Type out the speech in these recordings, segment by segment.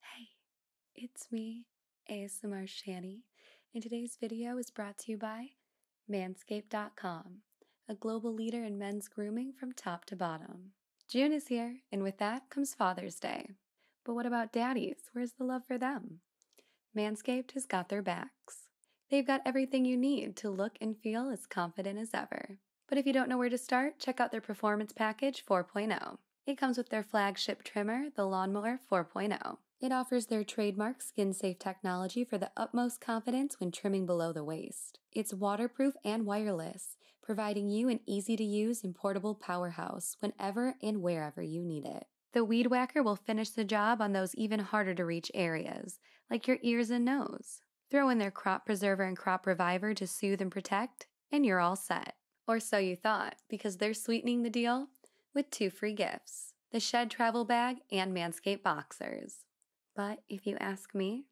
Hey, it's me, ASMR Shani, and today's video is brought to you by Manscaped.com, a global leader in men's grooming from top to bottom. June is here, and with that comes Father's Day. But what about daddies? Where's the love for them? Manscaped has got their backs. They've got everything you need to look and feel as confident as ever. But if you don't know where to start, check out their Performance Package 4.0. It comes with their flagship trimmer, the Lawnmower 4.0. It offers their trademark skin safe technology for the utmost confidence when trimming below the waist. It's waterproof and wireless, providing you an easy to use and portable powerhouse whenever and wherever you need it. The Weed Whacker will finish the job on those even harder to reach areas, like your ears and nose. Throw in their Crop Preserver and Crop Reviver to soothe and protect, and you're all set. Or so you thought, because they're sweetening the deal with two free gifts the Shed Travel Bag and Manscaped Boxers. But if you ask me,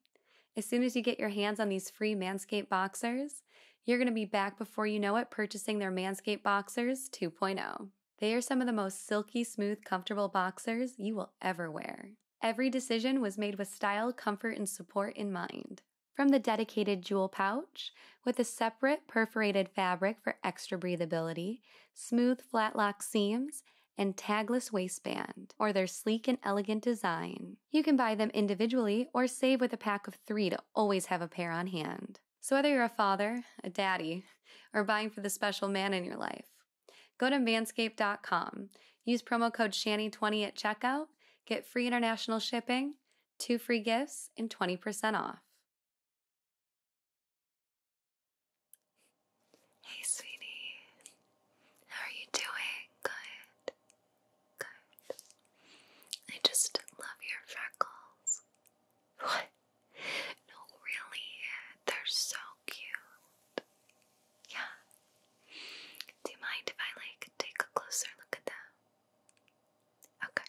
as soon as you get your hands on these free Manscaped Boxers, you're going to be back before you know it purchasing their Manscaped Boxers 2.0. They are some of the most silky, smooth, comfortable boxers you will ever wear. Every decision was made with style, comfort, and support in mind from the dedicated jewel pouch with a separate perforated fabric for extra breathability, smooth flatlock seams, and tagless waistband, or their sleek and elegant design. You can buy them individually or save with a pack of three to always have a pair on hand. So, whether you're a father, a daddy, or buying for the special man in your life, go to manscaped.com. Use promo code SHANNY20 at checkout, get free international shipping, two free gifts, and 20% off. Hey, sweetie. How are you doing? Good. Good. I just love your freckles. What? No, really. They're so cute. Yeah. Do you mind if I, like, take a closer look at them? Okay.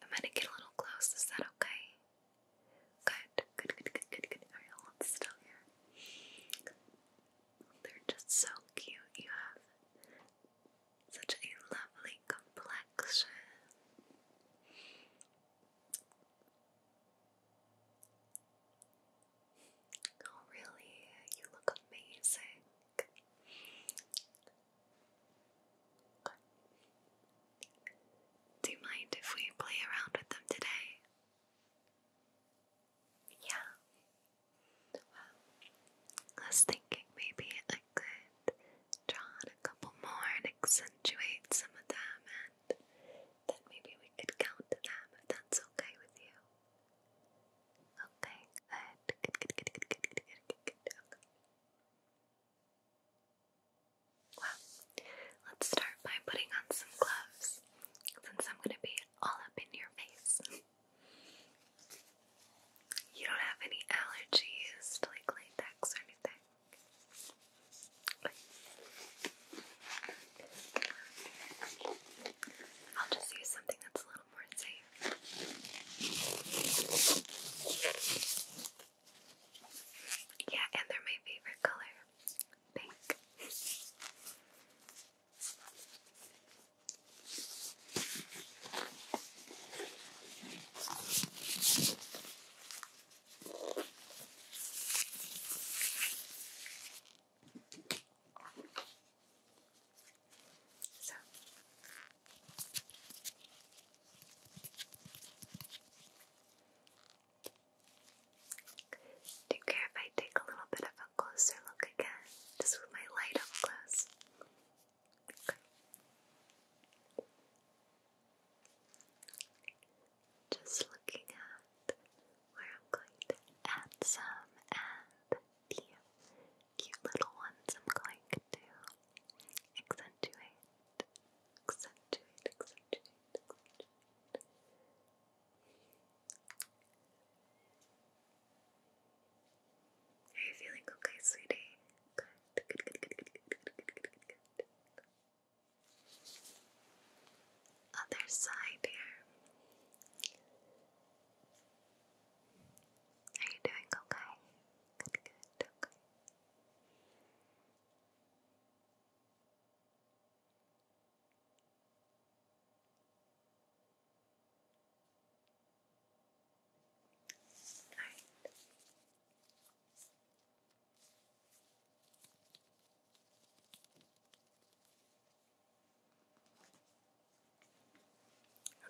I'm gonna get a little close. Is that okay? Good, good, good, good, good, good. Alright, i still here. They're just so cute. You have such a lovely complexion. Oh, really? You look amazing. Do you mind if we play around with them today? Yeah. Well, I was thinking maybe I could draw on a couple more and accentuate some of them, and then maybe we could count them if that's okay with you. Okay, good. Good, good, good, good, good, good, good, Okay. Well, let's start by putting on some gloves since I'm going to be all up in your face. You don't have any allergies to like latex or anything. I'll just use something that's a little more safe. Yeah, and they're my favorite color pink do you care if I take a little bit of a closer look again? Just with my light up close. Just looking at where I'm going to add some and the cute little ones I'm going to accentuate, accentuate, accentuate, accentuate. Are you feeling okay, sweetie? Good, Other side here. Are you doing okay? Good, good, okay. All right.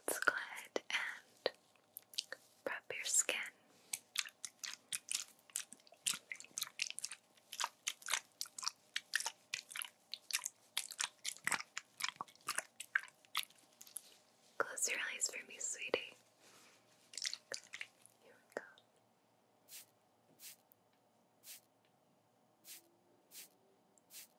Let's go ahead and rub your skin. Close your eyes for me, sweetie. Here we go.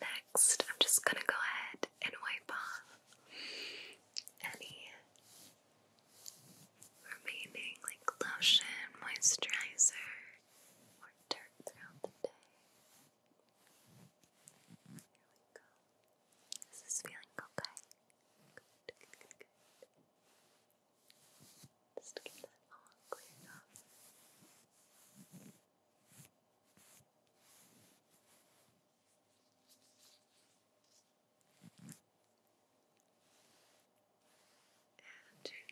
Next, I'm just going to go ahead and wipe off any remaining like lotion, moisturizer, or dirt throughout the day. Here we go. This is feeling okay. Good, good, good, good. Just get that all cleared up. And your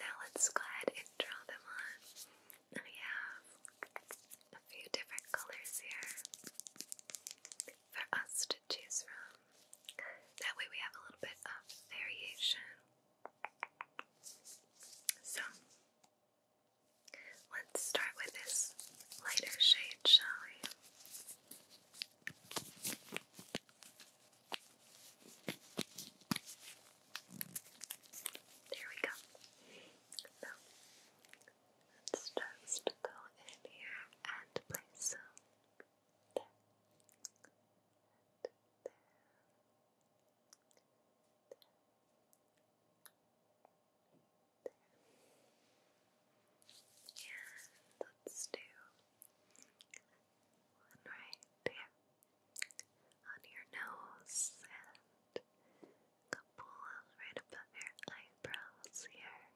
Now let's go ahead and draw them on. Oh, and have a few different colors here for us to choose from. That way we have a little bit of variation. So, let's start with this lighter shade, shall we? There we go. let's just go in here and place some there. And let's do right there on your nose and couple right above your eyebrows here.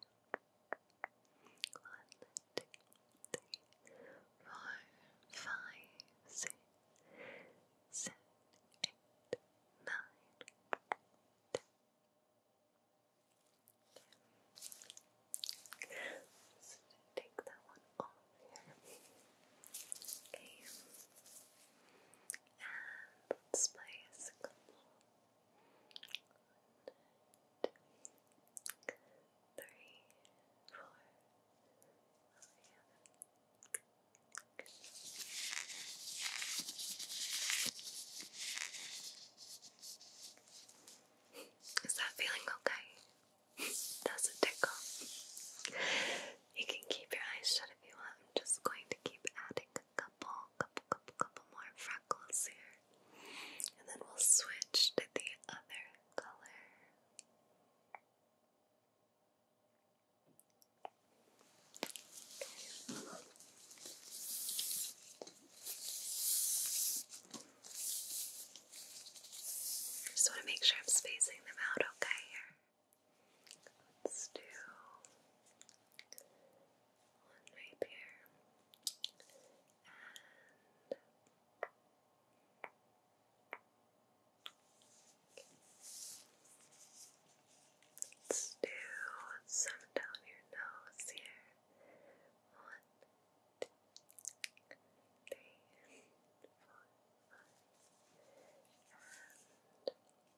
One, two, three, four, five, six, seven, eight, nine, ten. Just take that one off here. Okay. And let's play a single Is that feeling okay? Does it tickle? You can keep your eyes shut if you want. I'm just going to keep adding a couple, couple, couple, couple more freckles here. And then we'll switch to the other color. Okay. Just want to make sure I'm spacing them out okay here. Let's do one right here and let's do some down your nose here. One, two, three, four, five, and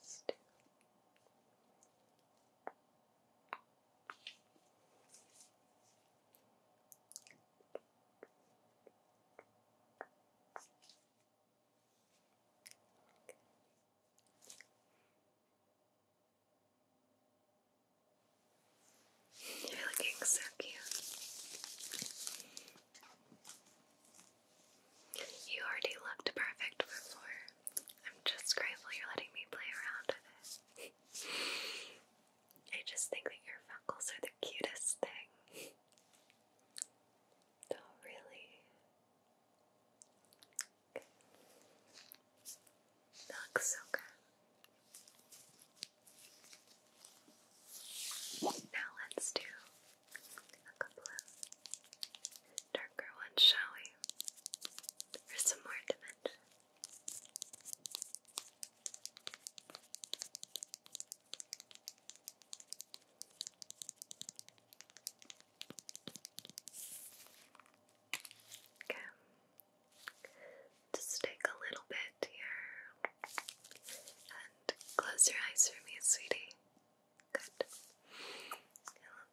Still. You're looking so cute. You already looked perfect before. I'm just grateful you're letting me play around with it. I just think that your freckles are the cutest thing. Don't really. That looks so good. Now let's do a couple of darker ones, shall we? For some more dimension. Okay. Just take a little bit here. And close your eyes for me, sweetie. Good.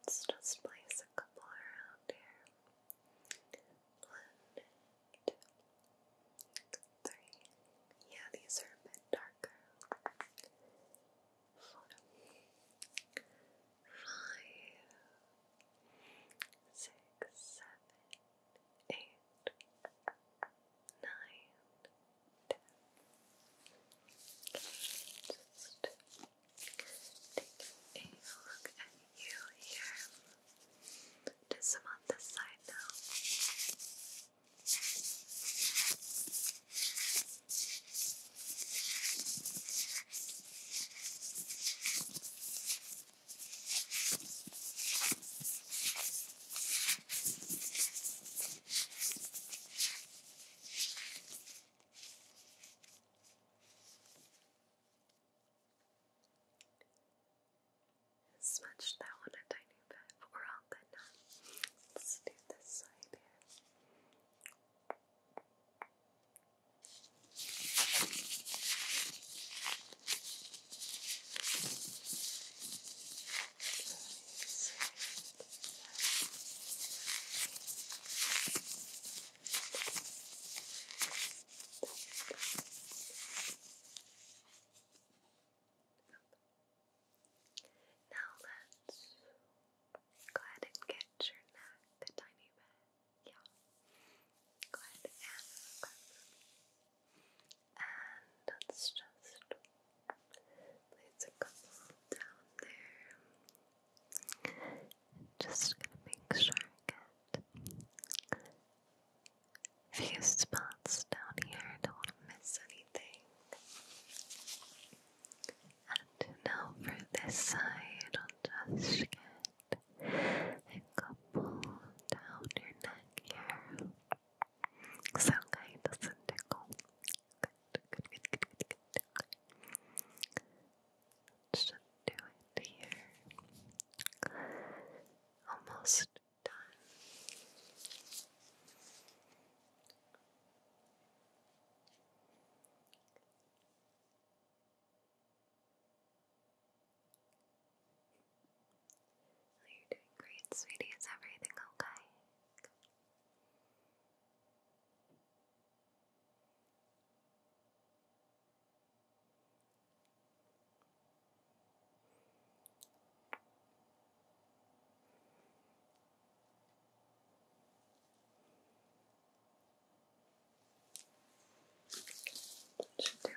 let's just place a couple around here. One, two, three. Yeah, these are a bit darker. Four, five, six, seven eight, nine, ten. Just taking a look at you here. Do some on this side now. Smudge that one a tiny bit, but we're all good now. Let's do this side here. Now let's go ahead and get your neck a tiny bit. Yeah. Go ahead and and let just place a couple down there. just gonna make sure I get a few spots down here. I don't want to miss anything. And now for this side, I'll just get a couple down your neck here. Sound guy doesn't tickle. Good, good, good, good, good, good. Okay. do it here. Almost done. You're doing great, sweetie. Is everything okay? Should do it.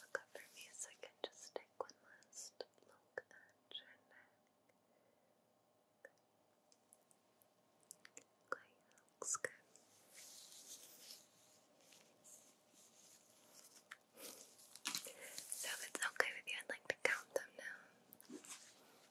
Look up for me a second, just take one last look at your neck. Okay, looks good. So if it's okay with you, I'd like to count them now.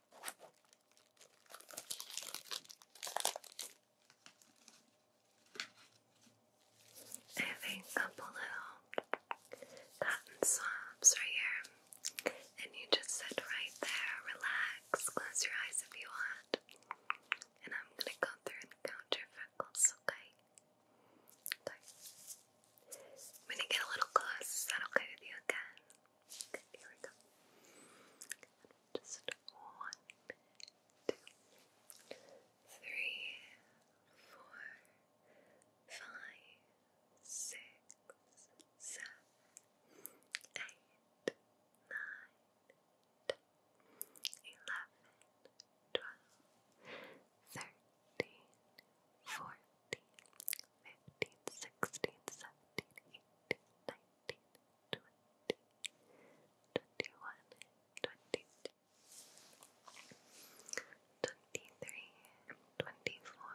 I think couple little cotton swabs right here, and you just sit right there, relax, close your eyes if you want, and I'm gonna go through and count your okay? I'm gonna get a little close. okay with you again? here we go. Just one, two, three, four, five, six, seven, eight, nine, ten, eleven, twelve, thirteen, fourteen, fifteen, sixteen, seventeen, eighteen, nineteen twenty, twenty-one, twenty-two, twenty-three, twenty-four,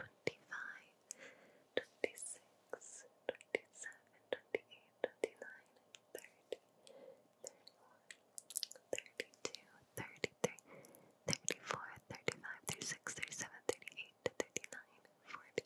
twenty-five, twenty-six, twenty-seven, twenty-eight, twenty-nine, thirty, thirty-one, thirty-two, thirty-three, thirty-four, thirty-five, thirty-six, thirty-seven, thirty-eight, thirty-nine, forty.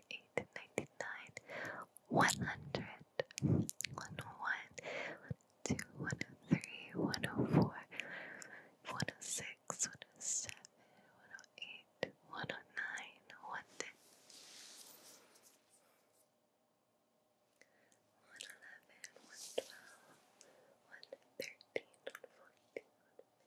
98, 99, 100, 101, 102, 103, 104, 106, 107, 108, 109, 110,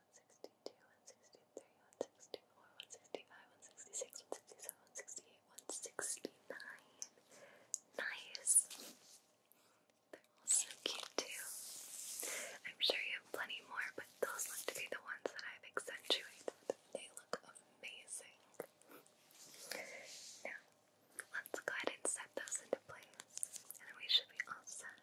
162, 163, 164, 165, 166, 167, 168, 169. Nice. They're all so cute too. I'm sure you have plenty more, but those look to be the ones that I've accentuated. They look amazing. Now, let's go ahead and set those into place, and then we should be all set.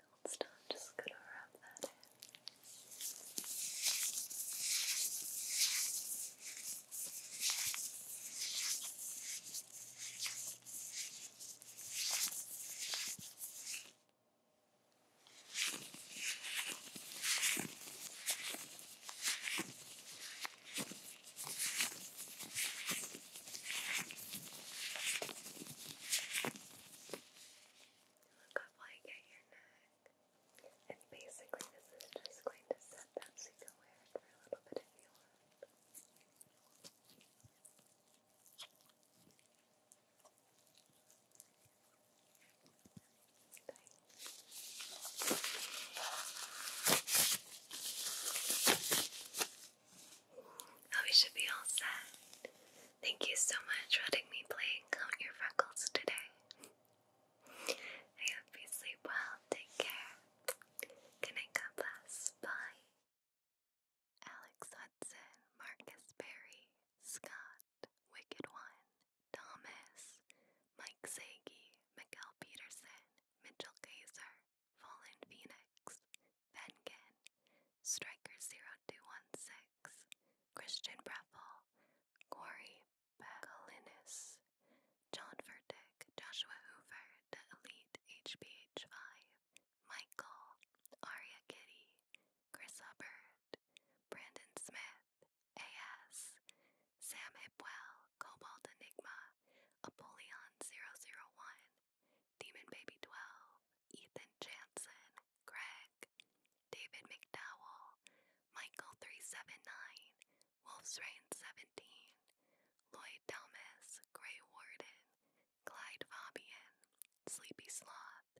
Gold star, just gonna wrap that in. Look up like at your neck. And basically this is just going to set that so you for a little bit if you Oh, we should be all set. Thank you so much for letting me play count your freckles today. hope you sleep well. Take care. Good night, God bless. Bye. Alex Hudson, Marcus Berry, Scott, Wicked One, Thomas, Mike Sagi, Miguel Peterson, Mitchell Kaiser, Fallen Phoenix, Vengen, Striker0216, Christian Breffel, Corey Bagalinis, John Furtick, Joshua Hoover, The Elite HBH5, Michael, Aria Kitty, Chris Hubbard, Brandon Smith, AS, Sam Hipwell, Cobalt Enigma, Apollyon001, Demon Baby 12, Ethan Jansen, Greg, David McDowell, Michael 379, Wolf's Reign 17, Lloyd Thomas, Gray Warden, Clyde Fabian, Sleepy Sloth,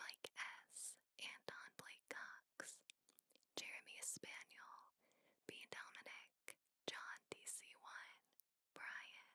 Mike S., Anton Blake Cox, Jeremy Spaniel, B. Dominic, John DC1, Brian.